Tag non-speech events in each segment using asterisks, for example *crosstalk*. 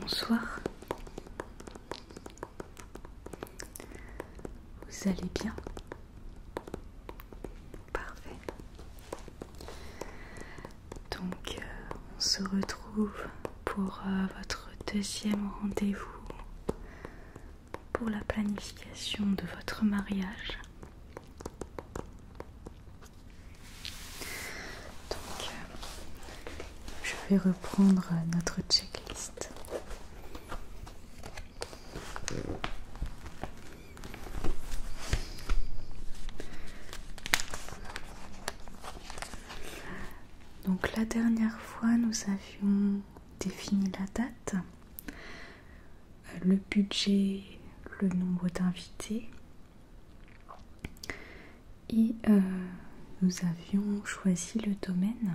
Bonsoir. Vous allez bien Parfait. Donc euh, on se retrouve pour euh, votre deuxième rendez-vous pour la planification de votre mariage. Donc, euh, je vais reprendre notre checklist. Donc la dernière fois, nous avions défini la date le budget, le nombre d'invités. Et euh, nous avions choisi le domaine.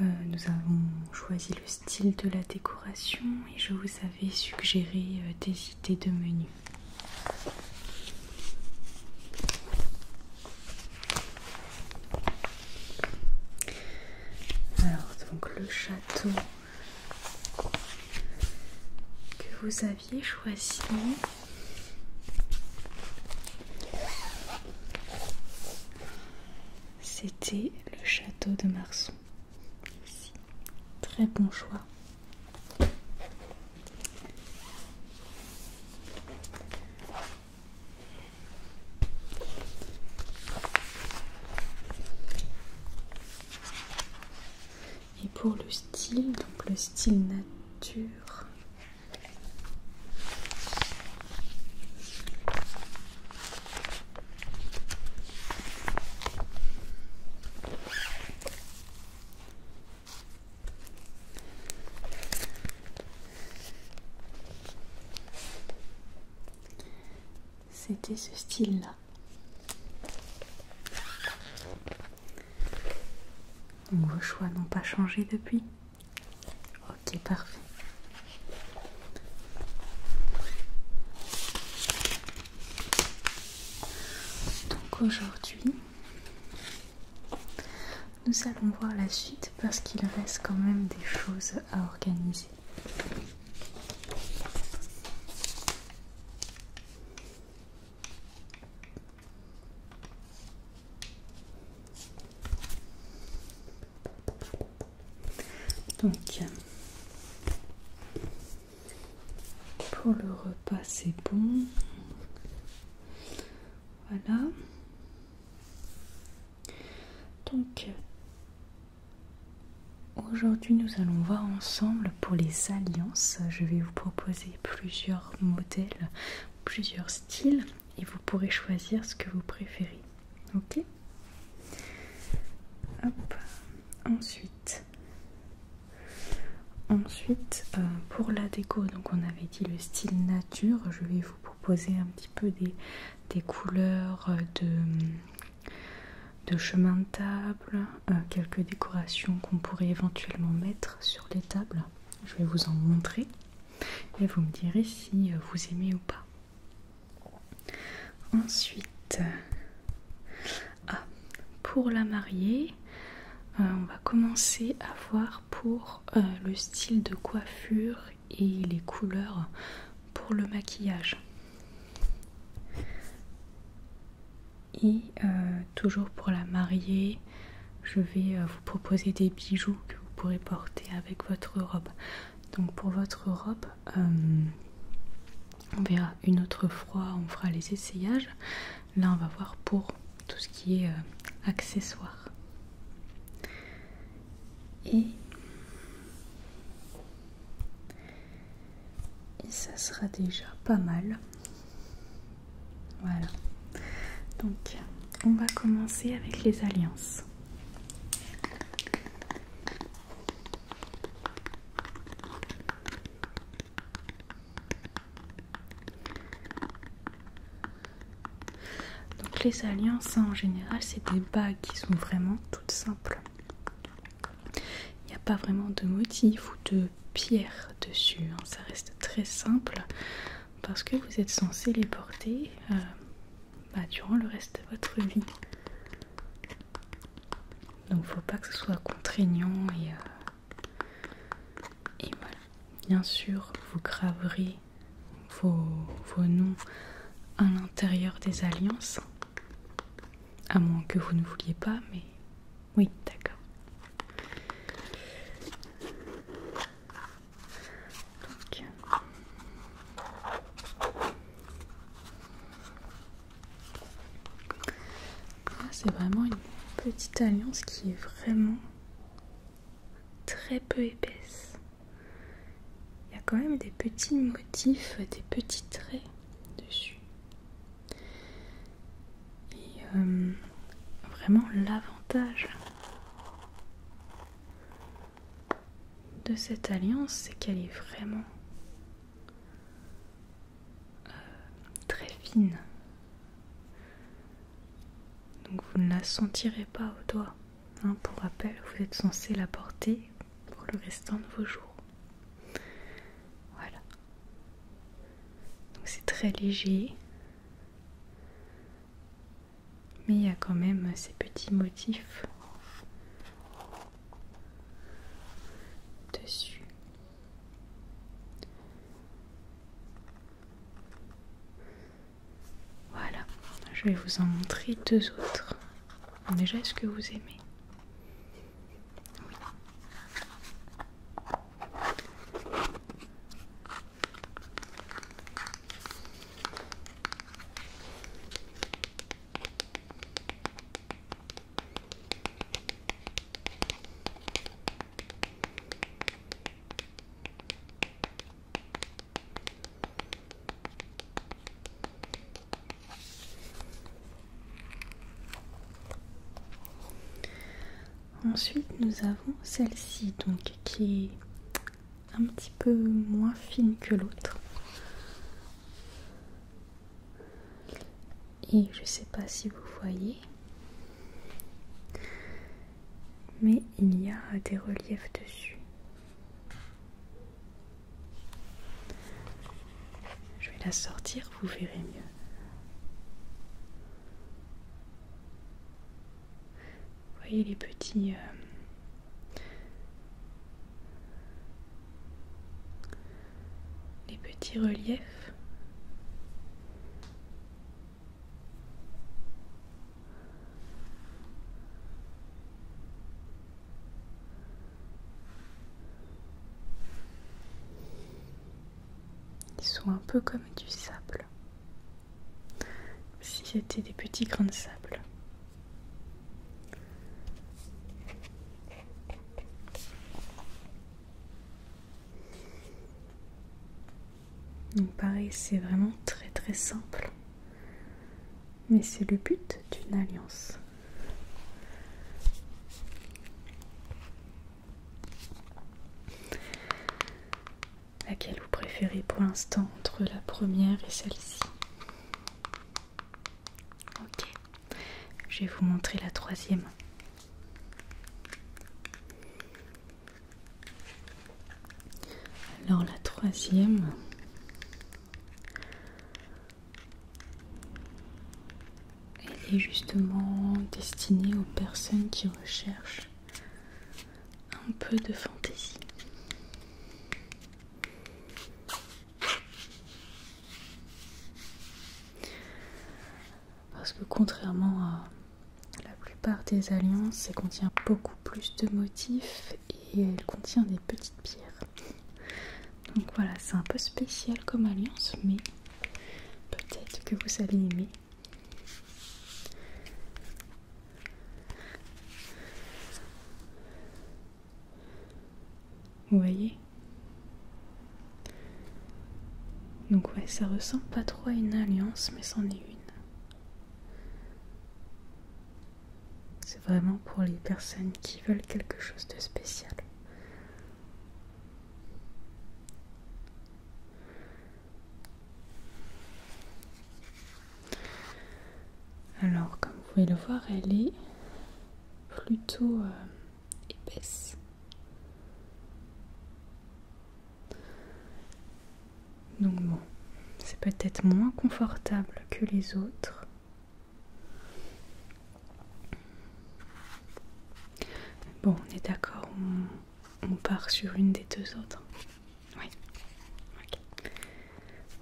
Euh, nous avons choisi le style de la décoration et je vous avais suggéré euh, des idées de menu. Alors, donc le château que vous aviez choisi. C'était le château de Marson. Très bon choix. Et pour le style, donc le style nature. C'était ce style-là. vos choix n'ont pas changé depuis Ok, parfait. Donc aujourd'hui, nous allons voir la suite parce qu'il reste quand même des choses à organiser. Donc pour le repas c'est bon. Voilà. Donc, euh, aujourd'hui, nous allons voir ensemble pour les alliances. Je vais vous proposer plusieurs modèles, plusieurs styles, et vous pourrez choisir ce que vous préférez. Ok Ensuite, ensuite euh, pour la déco, donc on avait dit le style nature. Je vais vous proposer un petit peu des des couleurs de, chemin de table, euh, quelques décorations qu'on pourrait éventuellement mettre sur les tables. Je vais vous en montrer et vous me direz si vous aimez ou pas. Ensuite, ah, pour la mariée, euh, on va commencer à voir pour euh, le style de coiffure et les couleurs pour le maquillage. Et euh, toujours pour la mariée, je vais euh, vous proposer des bijoux que vous pourrez porter avec votre robe. Donc pour votre robe, euh, on verra une autre fois, on fera les essayages. Là, on va voir pour tout ce qui est accessoire. accessoires. Et, ça sera déjà pas mal. Voilà. Donc, on va commencer avec les alliances. Donc les alliances en général c'est des bagues qui sont vraiment toutes simples. Il n'y a pas vraiment de motifs ou de pierre dessus, hein. ça reste très simple parce que vous êtes censé les porter euh, bah, durant le reste de votre vie. Donc faut pas que ce soit contraignant et, voilà. Euh, Bien sûr, vous graverez vos, noms à l'intérieur des alliances. À moins que vous ne vouliez pas, mais oui, d'accord. Ah, c'est vraiment une petite alliance qui est vraiment très peu épaisse il y a quand même des petits motifs, des petits traits dessus. Et euh, vraiment l'avantage de cette alliance, c'est qu'elle est vraiment euh, très fine. Donc vous ne la sentirez pas au doigt. Hein, pour rappel, vous êtes censé la porter pour le restant de vos jours. Voilà. Donc c'est très léger. Mais il y a quand même ces petits motifs dessus. Voilà, je vais vous en montrer deux autres. Déjà, est-ce que vous aimez Ensuite, nous avons celle-ci, donc qui est un petit peu moins fine que l'autre. Et je sais pas si vous voyez, mais il y a des reliefs dessus. Je vais la sortir, vous verrez mieux. voyez les petits... Euh, les petits reliefs ils sont un peu comme du sable. Si c'était des petits grains de sable. Donc pareil, c'est vraiment très très simple. Mais c'est le but d'une alliance. Laquelle vous préférez pour l'instant entre la première et celle-ci Ok, je vais vous montrer la troisième. Alors la troisième. est justement destinée aux personnes qui recherchent un peu de fantaisie. Parce que contrairement à la plupart des alliances, elle contient beaucoup plus de motifs et elle contient des petites pierres. Donc voilà, c'est un peu spécial comme alliance, mais peut-être que vous allez aimer. Vous voyez Donc ouais, ça ressemble pas trop à une alliance, mais c'en est une. C'est vraiment pour les personnes qui veulent quelque chose de spécial. Alors, comme vous pouvez le voir, elle est plutôt euh, épaisse. Donc bon, c'est peut-être moins confortable que les autres. Bon, on est d'accord, on, part sur une des deux autres. Oui. ok.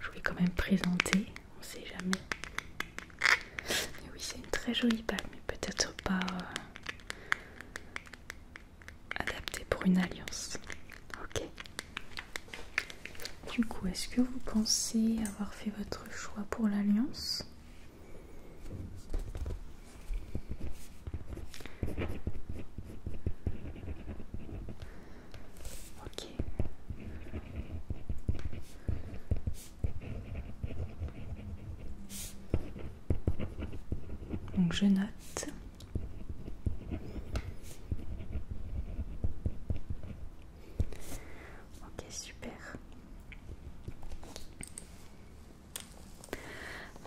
Je voulais quand même présenter, on sait jamais. oui, c'est une très jolie bague, mais peut-être pas... Euh, adapté pour une alliance. Ok. Du coup, est-ce que vous pensez avoir fait votre choix pour l'alliance Ok. Donc je note. Ok, super.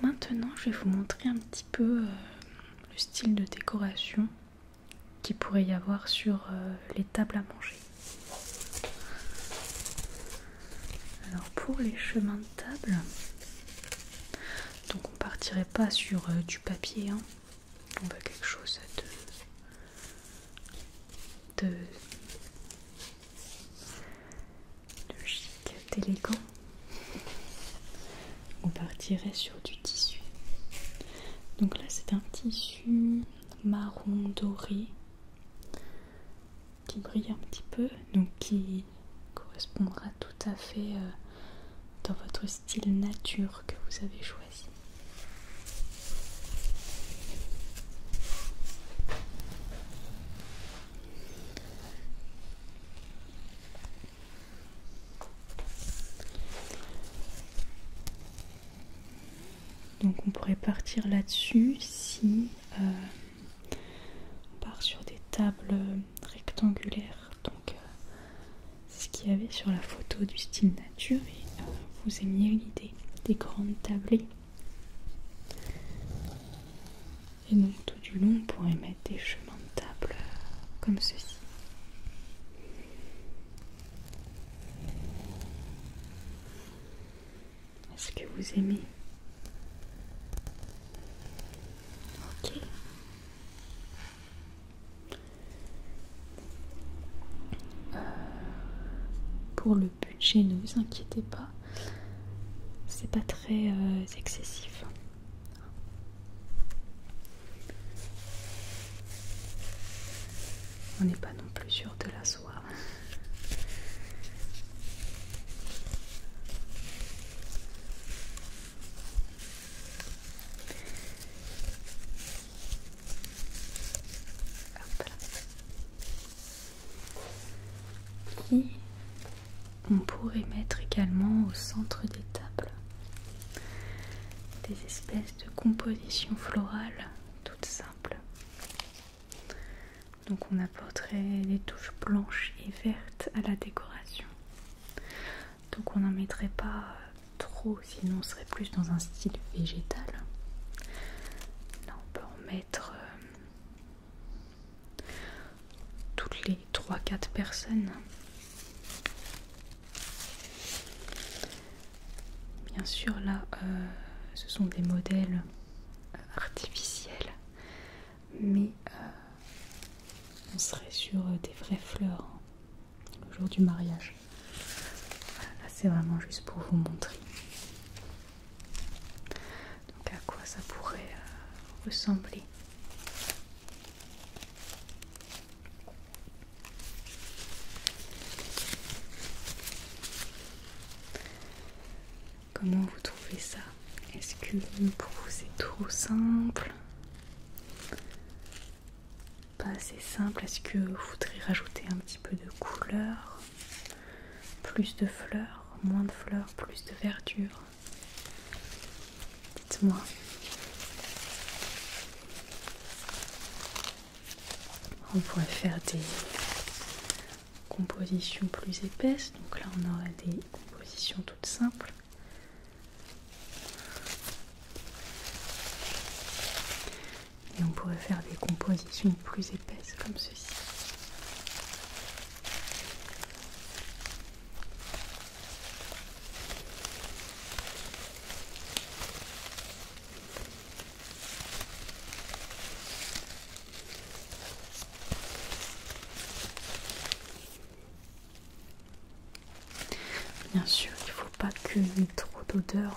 Maintenant, je vais vous montrer un petit peu euh, le style de décoration qu'il pourrait y avoir sur euh, les tables à manger. Alors pour les chemins de table, donc on partirait pas sur euh, du papier. Hein. On va quelque chose de... logique, d'élégant. On partirait sur du tissu. Donc là c'est un tissu marron doré qui brille un petit peu, donc qui correspondra tout à fait euh, dans votre style nature que vous avez choisi. Donc on pourrait partir là-dessus si euh, on part sur des tables rectangulaire. Donc, euh, c'est ce qu'il y avait sur la photo du style nature et euh, vous aimiez l'idée des grandes tablées. Et donc, tout du long, on pourrait mettre des chemins de table euh, comme ceci. Est-ce que vous aimez Ok, euh, pour le budget, ne vous inquiétez pas, c'est pas très euh, excessif. On n'est pas non plus sûr de la soie on pourrait mettre également au centre des tables des espèces de compositions florales toutes simples. Donc on apporterait des touches blanches et vertes à la décoration. Donc on n'en mettrait pas euh, trop, sinon on serait plus dans un style végétal. Là on peut en mettre euh, toutes les 3-4 personnes. Bien sûr là euh, ce sont des modèles artificiels mais on serait sur euh, des vraies fleurs hein, le jour du mariage. là c'est vraiment juste pour vous montrer. Donc à quoi ça pourrait euh, ressembler. Comment vous trouvez ça Est-ce que pour vous c'est trop simple Pas assez simple Est-ce que vous voudriez rajouter un petit peu de couleur Plus de fleurs Moins de fleurs Plus de verdure Dites-moi. On pourrait faire des compositions plus épaisses. Donc là, on aura des compositions toutes simples. Et on pourrait faire des compositions plus épaisses comme ceci. Bien sûr, il ne faut pas que y trop d'odeur.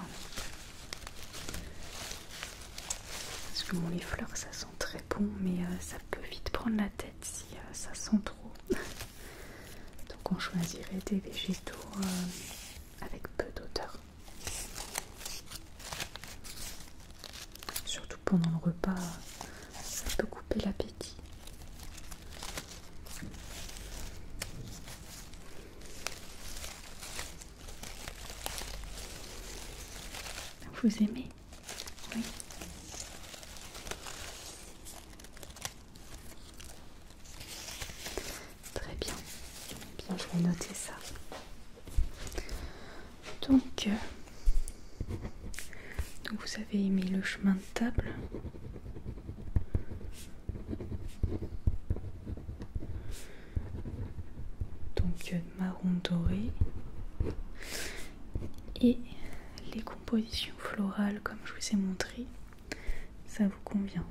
Parce que les fleurs, ça sent très bon, mais euh, ça peut vite prendre la tête si euh, ça sent trop. *laughs* Donc on choisirait des végétaux euh, avec peu d'odeur. Surtout pendant le repas, ça peut couper l'appétit. Vous aimez Oui. Très bien. bien. Je vais noter ça. Euh, donc, vous avez aimé le chemin de table donc euh, marron doré et les compositions florales comme je vous ai montré ça vous convient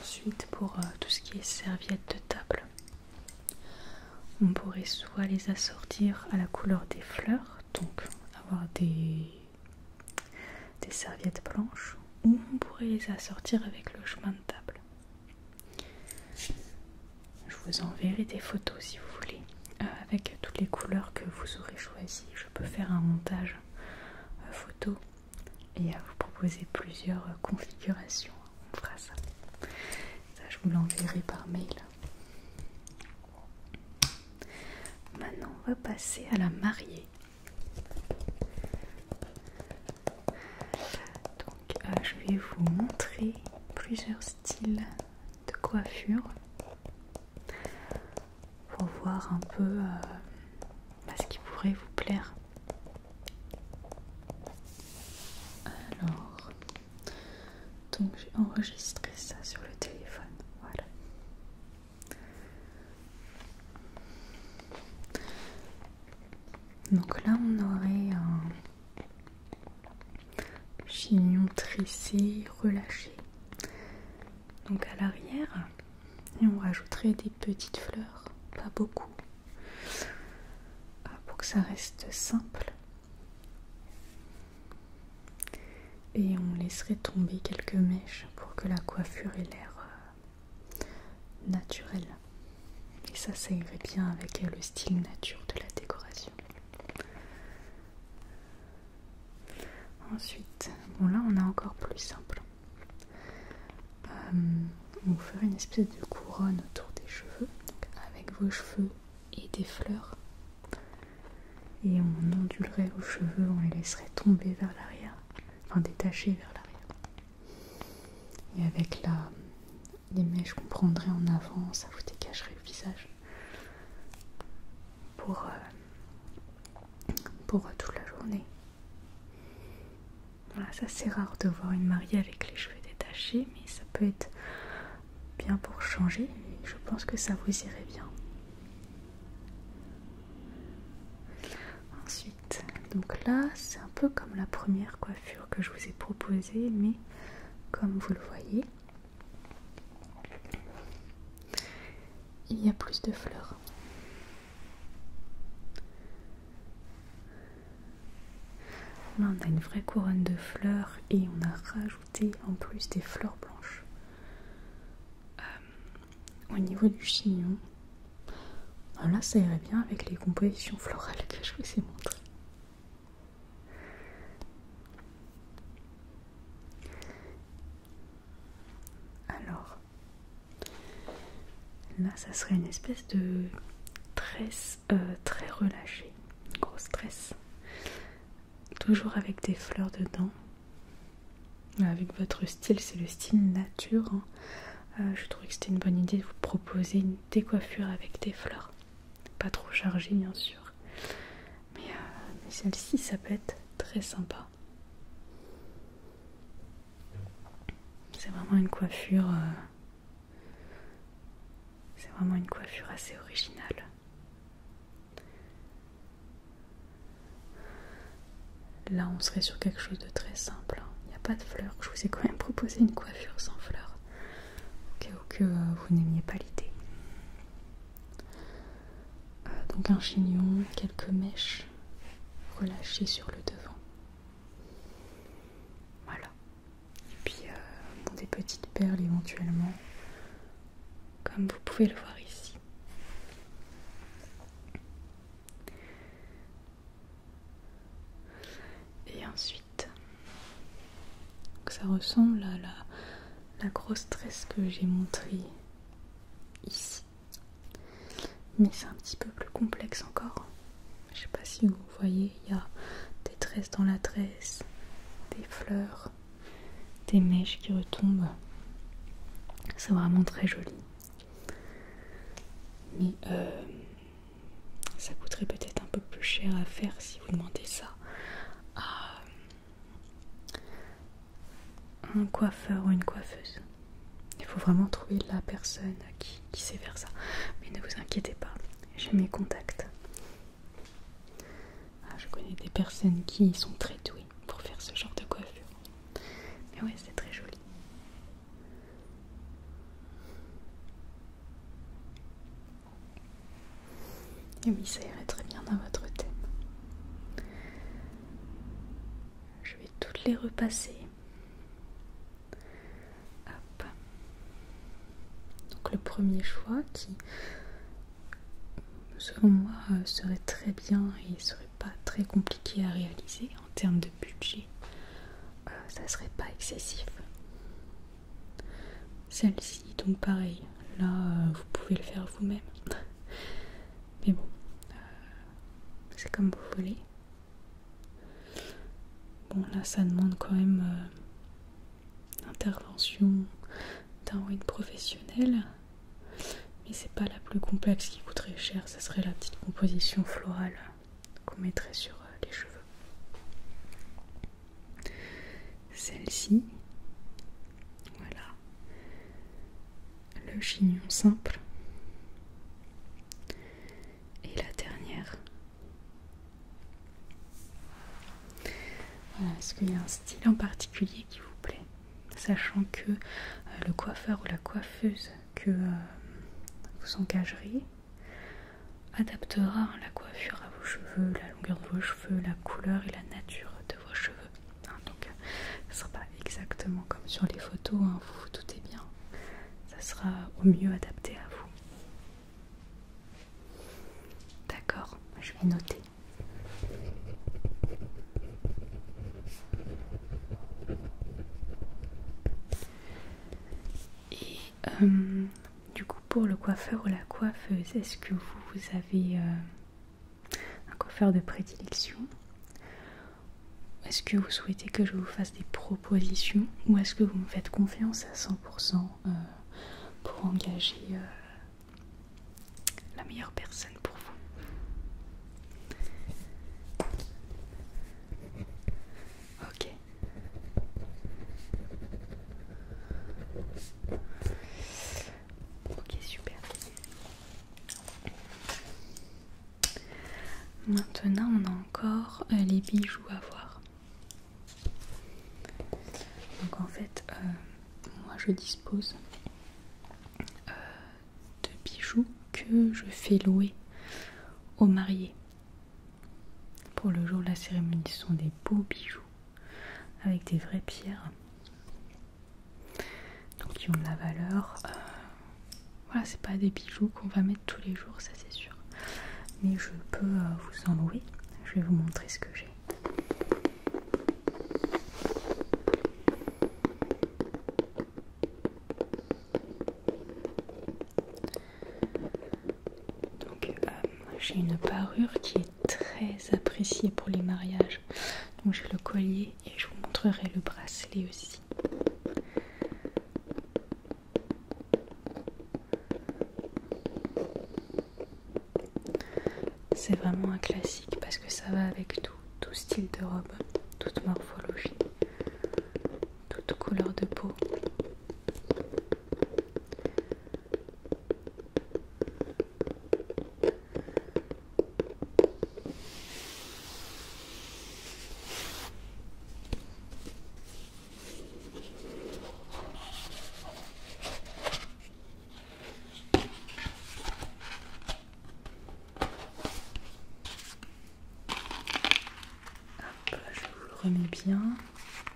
Ensuite, pour euh, tout ce qui est serviettes de table, on pourrait soit les assortir à la couleur des fleurs, donc avoir des serviettes blanches, ou on pourrait les assortir avec le chemin de table. Je vous enverrai des photos si vous voulez. Euh, avec toutes les couleurs que vous aurez choisies. Je peux faire un montage euh, photo et à vous proposer plusieurs euh, configurations. On fera ça. Ça, je vous l'enverrai par mail. Maintenant, on va passer à la mariée. Donc, je vais vous montrer plusieurs styles de coiffure pour voir un peu euh, bah, ce qui pourrait vous plaire. Alors, donc j'ai enregistré ça sur le téléphone. Voilà. Donc là, on aurait un chignon trissé, relâché donc à l'arrière et on rajouterait des petites fleurs, pas beaucoup, euh, pour que ça reste simple. Et on laisserait tomber quelques mèches pour que la coiffure ait l'air euh, naturelle. Et ça, ça irait bien avec euh, le style nature de la décoration. Ensuite, bon là on a encore plus simple. Euh, on vous ferez une espèce de couronne autour des cheveux, avec vos cheveux et des fleurs. Et on ondulerait vos cheveux, on les laisserait tomber vers l'arrière, enfin détacher vers l'arrière. Et avec la, les mèches qu'on prendrait en avant, ça vous dégagerait le visage pour, euh, pour toute la journée. Voilà, ça c'est rare de voir une mariée avec les cheveux détachés, mais ça peut être bien pour changer. Je pense que ça vous irait bien. Ensuite, donc là c'est un peu comme la première coiffure que je vous ai proposée, mais comme vous le voyez, il y a plus de fleurs. Là, on a une vraie couronne de fleurs et on a rajouté en plus des fleurs blanches. Euh, au niveau du chignon, là ça irait bien avec les compositions florales que je vous ai montrées. Alors, là, ça serait une espèce de tresse euh, très relâchée, grosse tresse, toujours avec des fleurs dedans. Avec votre style, c'est le style nature. Hein. Euh, je trouvais que c'était une bonne idée de vous proposer une décoiffure avec des fleurs, pas trop chargée, bien sûr. Euh, mais, celle-ci ça peut être très sympa. C'est vraiment une coiffure. Euh, c'est vraiment une coiffure assez originale. Là, on serait sur quelque chose de très simple. Hein. Il n'y a pas de fleurs. Je vous ai quand même proposé une coiffure sans fleurs. Au cas où que vous n'aimiez pas l'idée. Euh, donc un chignon, quelques mèches relâchées sur le devant. Voilà. Et puis euh, des petites perles éventuellement, comme vous pouvez le voir ici. Et ensuite, ça ressemble à la la grosse tresse que j'ai montrée ici. Mais c'est un petit peu plus complexe encore. Je sais pas si vous voyez, il y a des tresses dans la tresse, des fleurs, des mèches qui retombent. C'est vraiment très joli. Mais euh, ça coûterait peut-être un peu plus cher à faire si vous demandez ça un coiffeur ou une coiffeuse. Il faut vraiment trouver la personne qui, sait faire ça. Mais ne vous inquiétez pas, j'ai mes contacts. Ah, je connais des personnes qui sont très douées pour faire ce genre de coiffure. Mais ouais, c'est très joli. Et oui, ça irait très bien dans votre thème. Je vais toutes les repasser. Donc le premier choix qui, selon moi, euh, serait très bien et serait pas très compliqué à réaliser en termes de budget. ça euh, ça serait pas excessif. Celle-ci donc pareil, là euh, vous pouvez le faire vous-même. *laughs* Mais bon, euh, c'est comme vous voulez. Bon là ça demande quand même euh, intervention d'un une professionnel. Mais c'est pas la plus complexe qui coûterait cher, ça serait la petite composition florale qu'on mettrait sur les cheveux. Celle-ci, voilà, le chignon simple. Et la dernière. est-ce qu'il y a un style en particulier qui vous plaît Sachant que euh, le coiffeur ou la coiffeuse que euh, vous engagerez adaptera la coiffure à vos cheveux, la longueur de vos cheveux, la couleur et la nature vos cheveux. Hein, donc, ce sera pas exactement comme sur les photos, hein, vous vous doutez bien. Ça sera au mieux adapté à vous. D'accord, je vais noter. Et euh, du coup, pour le coiffeur ou la coiffeuse, est-ce que vous, vous avez euh, un coiffeur de prédilection. Est-ce que vous souhaitez que je vous fasse des propositions ou est-ce que vous me faites confiance à 100% euh, pour engager euh, la meilleure personne pour vous Ok. Ok, super. Maintenant, on a encore euh, les bijoux à voir. Donc en fait, euh, moi je dispose euh, de bijoux que je fais louer aux mariés. Pour le jour de la cérémonie, ce sont des beaux bijoux avec des vraies pierres donc qui ont de la valeur euh, voilà c'est pas des bijoux qu'on va mettre tous les jours ça c'est sûr mais je peux euh, vous en louer je vais vous montrer ce que j'ai donc euh, j'ai une parure qui est très apprécié pour les mariages. Donc j'ai le collier et je vous montrerai le bracelet aussi. C'est vraiment un classique parce que ça va avec tout, tout style de robe, toute morphologie, toute couleur de peau je vous remets bien.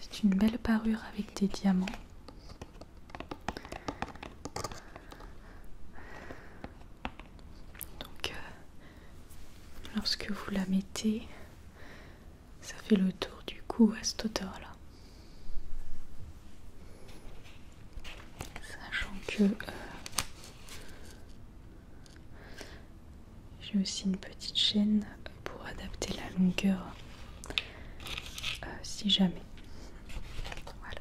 C'est une belle parure avec des diamants. Donc, euh, lorsque vous la mettez, ça fait le tour du cou à cette hauteur-là. Sachant que euh, j'ai aussi une petite chaîne pour adapter la longueur euh, si jamais. Voilà.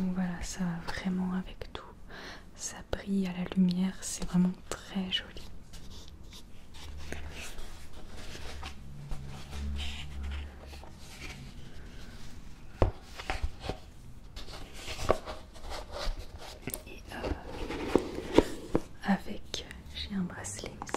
Donc voilà, ça va vraiment avec tout. Ça brille à la lumière, c'est vraiment très joli. Et euh, avec, j'ai un bracelet aussi.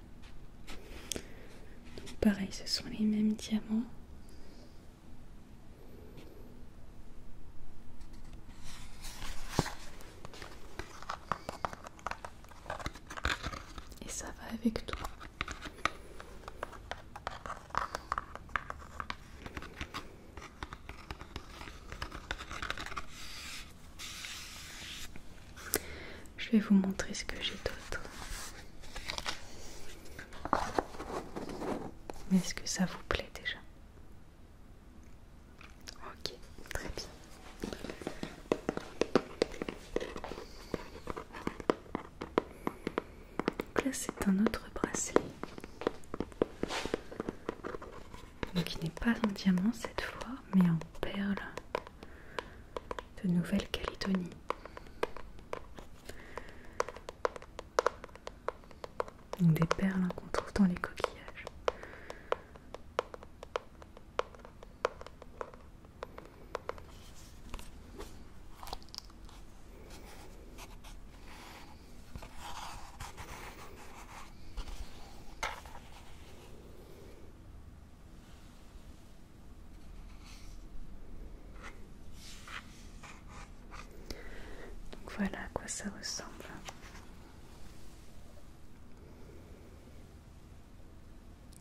pareil, ce sont les mêmes diamants. Et ça va avec tout. Je vais vous montrer ce que j'ai d'autre. Est-ce que ça vous plaît déjà Ok, très bien. Donc là c'est un autre bracelet. Donc il n'est pas en diamant cette fois, mais en perles de Nouvelle-Calédonie. Des perles hein, qu'on trouve dans les coquillages. Donc voilà à quoi ça ressemble.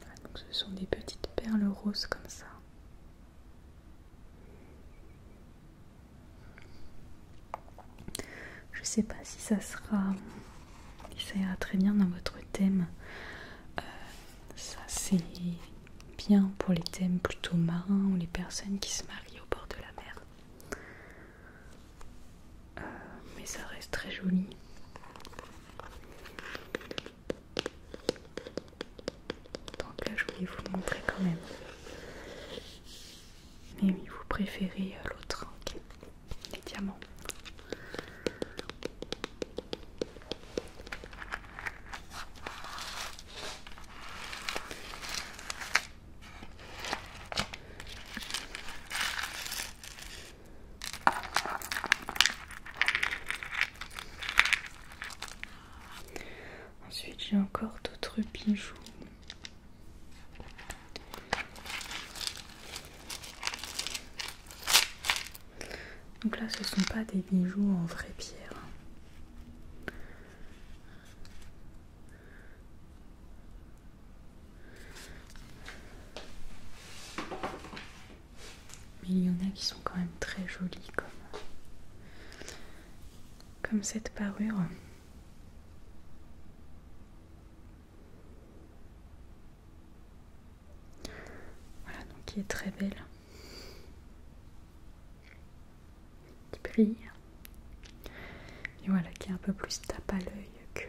Ah, donc ce sont des petites perles roses comme ça. Je sais pas si ça sera ça ira très bien dans votre thème. Euh, ça c'est bien pour les thèmes plutôt marins ou les personnes qui se marient au bord de la mer. Euh, mais ça reste très joli. Donc là je voulais vous le montrer quand même. Mais oui, vous préférez euh, l'autre. Des diamants. Ensuite, j'ai encore d'autres bijoux. Donc là, ce sont pas des bijoux en vraie pierre. Mais il y en a qui sont quand même très jolis comme cette parure voilà, donc qui est très belle. Qui brille. Et voilà, qui est un peu plus tape à l'œil que,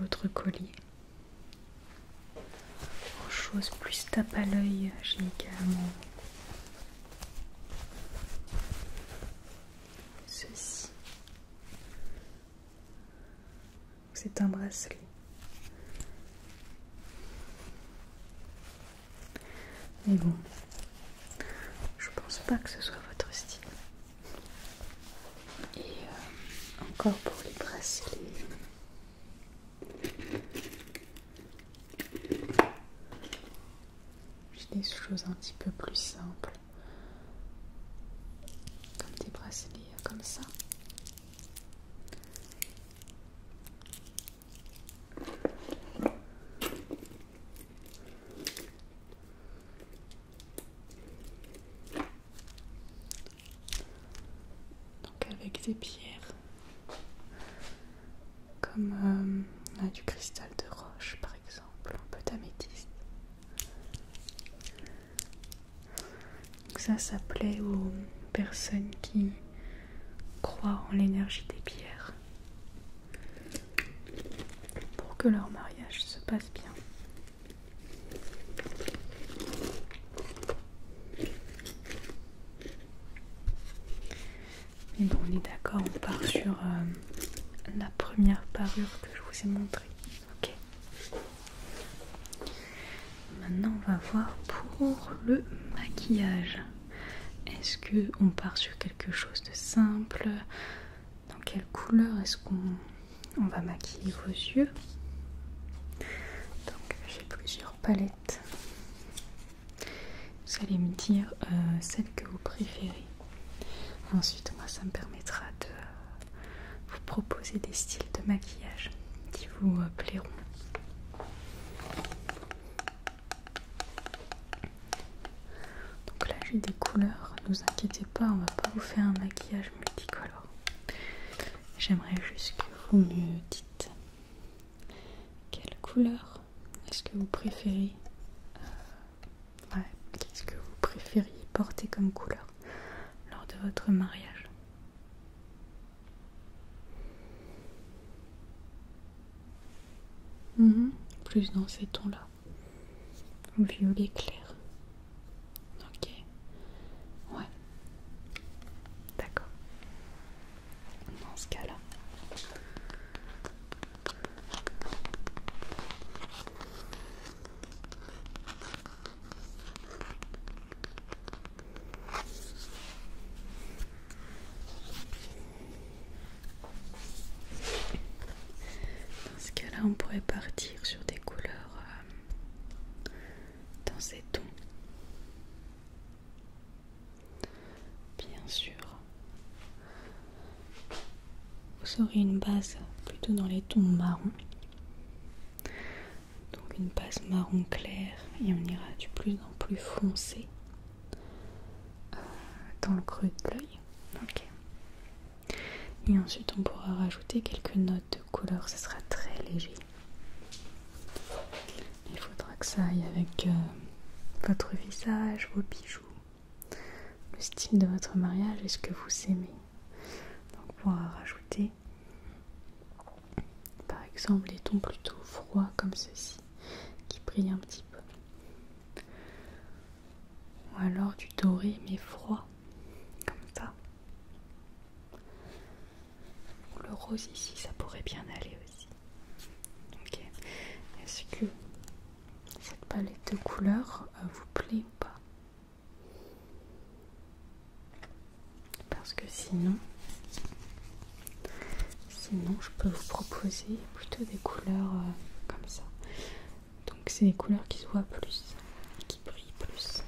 l'autre collier. Autre chose plus tape à l'œil, j'ai également ceci c'est un bracelet. Mais bon, je pense pas que ce soit votre style. Et euh, encore pour les bracelets. J'ai des choses un petit peu plus simples comme des bracelets comme ça. Donc avec des pierres comme euh, du cristal de roche par exemple, un peu d'améthyste. Donc ça, ça plaît aux personnes qui croient en l'énergie des pierres pour que leur mariage se passe bien. Mais bon, on est d'accord, on part sur euh, la première parure que je vous ai montrée. Ok. Maintenant, on va voir pour le maquillage. Est-ce que on part sur quelque chose de simple Dans quelle couleur est-ce qu'on va maquiller vos yeux Donc, j'ai plusieurs palettes. Vous allez me dire euh, celle que vous préférez. Ensuite, moi, ça me permettra de vous proposer des styles de maquillage qui vous euh, plairont. Donc là, j'ai des couleurs. Ne vous inquiétez pas, on va pas vous faire un maquillage multicolore. J'aimerais juste que vous me dites quelle couleur est-ce que vous préférez euh, Ouais, qu'est-ce que vous préfériez porter comme couleur lors de votre mariage mhm. Plus dans ces tons-là. Violet clair. Ok. Ouais. D'accord. Dans ce cas-là. Dans ce cas-là, on pourrait partir sur des couleurs euh, dans ces tons. Bien sûr, vous aurez une base plutôt dans les tons marron. Donc une base marron clair et on ira du plus en plus foncé euh, dans le creux de l'œil. Et ensuite on pourra rajouter quelques notes de couleur, ce sera très léger. Il faudra que ça aille avec euh, votre visage, vos bijoux, le style de votre mariage est ce que vous aimez. Donc pour rajouter par exemple des tons plutôt froids comme ceci qui brillent un petit peu. Ou alors du doré mais froid comme ça. Ou le rose ici ça pourrait bien aller aussi. Ok. Est-ce que cette palette de couleurs euh, vous plaît ou pas parce que sinon, sinon je peux vous proposer plutôt des couleurs euh, comme ça. Donc c'est des couleurs qui se voient plus, qui brillent plus.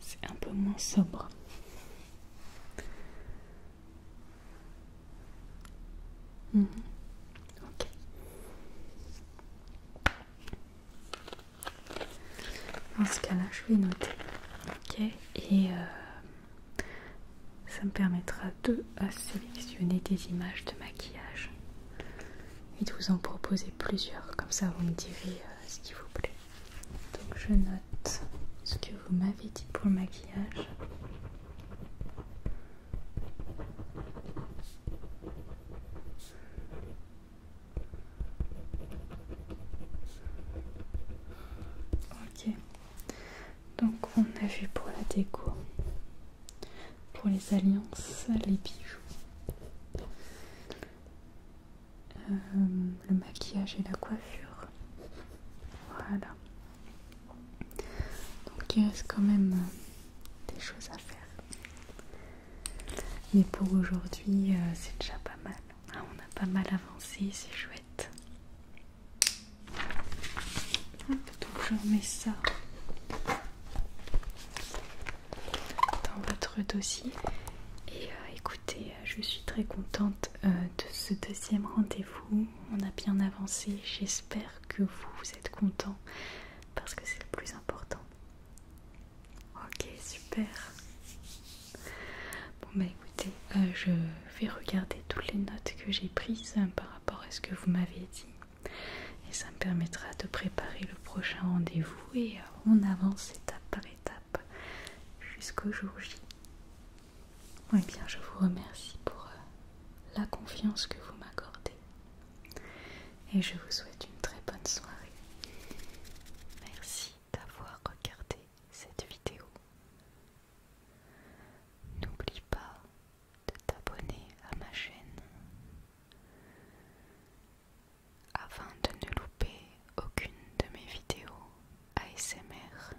C'est un peu moins sobre. Mhm. Dans ce cas-là, je vais noter. Ok. Et euh, ça me permettra de euh, sélectionner des images de maquillage et de vous en proposer plusieurs. Comme ça, vous me direz euh, ce qui vous plaît. Donc, je note ce que vous m'avez dit pour le maquillage. Ok, donc on a vu pour la déco, pour les alliances, les bijoux, euh, le maquillage et la coiffure. Voilà. Donc il reste quand même euh, des choses à faire. Mais pour aujourd'hui, euh, c'est déjà pas mal. Ah, on a pas mal avancé, c'est chouette. donc je remets ça dans votre dossier. Et euh, écoutez, je suis très contente de ce deuxième rendez-vous on a bien avancé. J'espère que vous êtes content parce que c'est le plus important. Ok, super. Bon bah écoutez, euh, je vais regarder toutes les notes que j'ai prises hein, par rapport à ce que vous m'avez dit. Et ça me permettra de préparer le prochain rendez-vous et euh, on avance étape par étape jusqu'au jour J. Eh bien, je vous remercie pour euh, la confiance que vous m'accordez. Et je vous souhaite une très bonne soirée. Merci d'avoir regardé cette vidéo. N'oublie pas de t'abonner à ma chaîne afin de ne louper aucune de mes vidéos ASMR.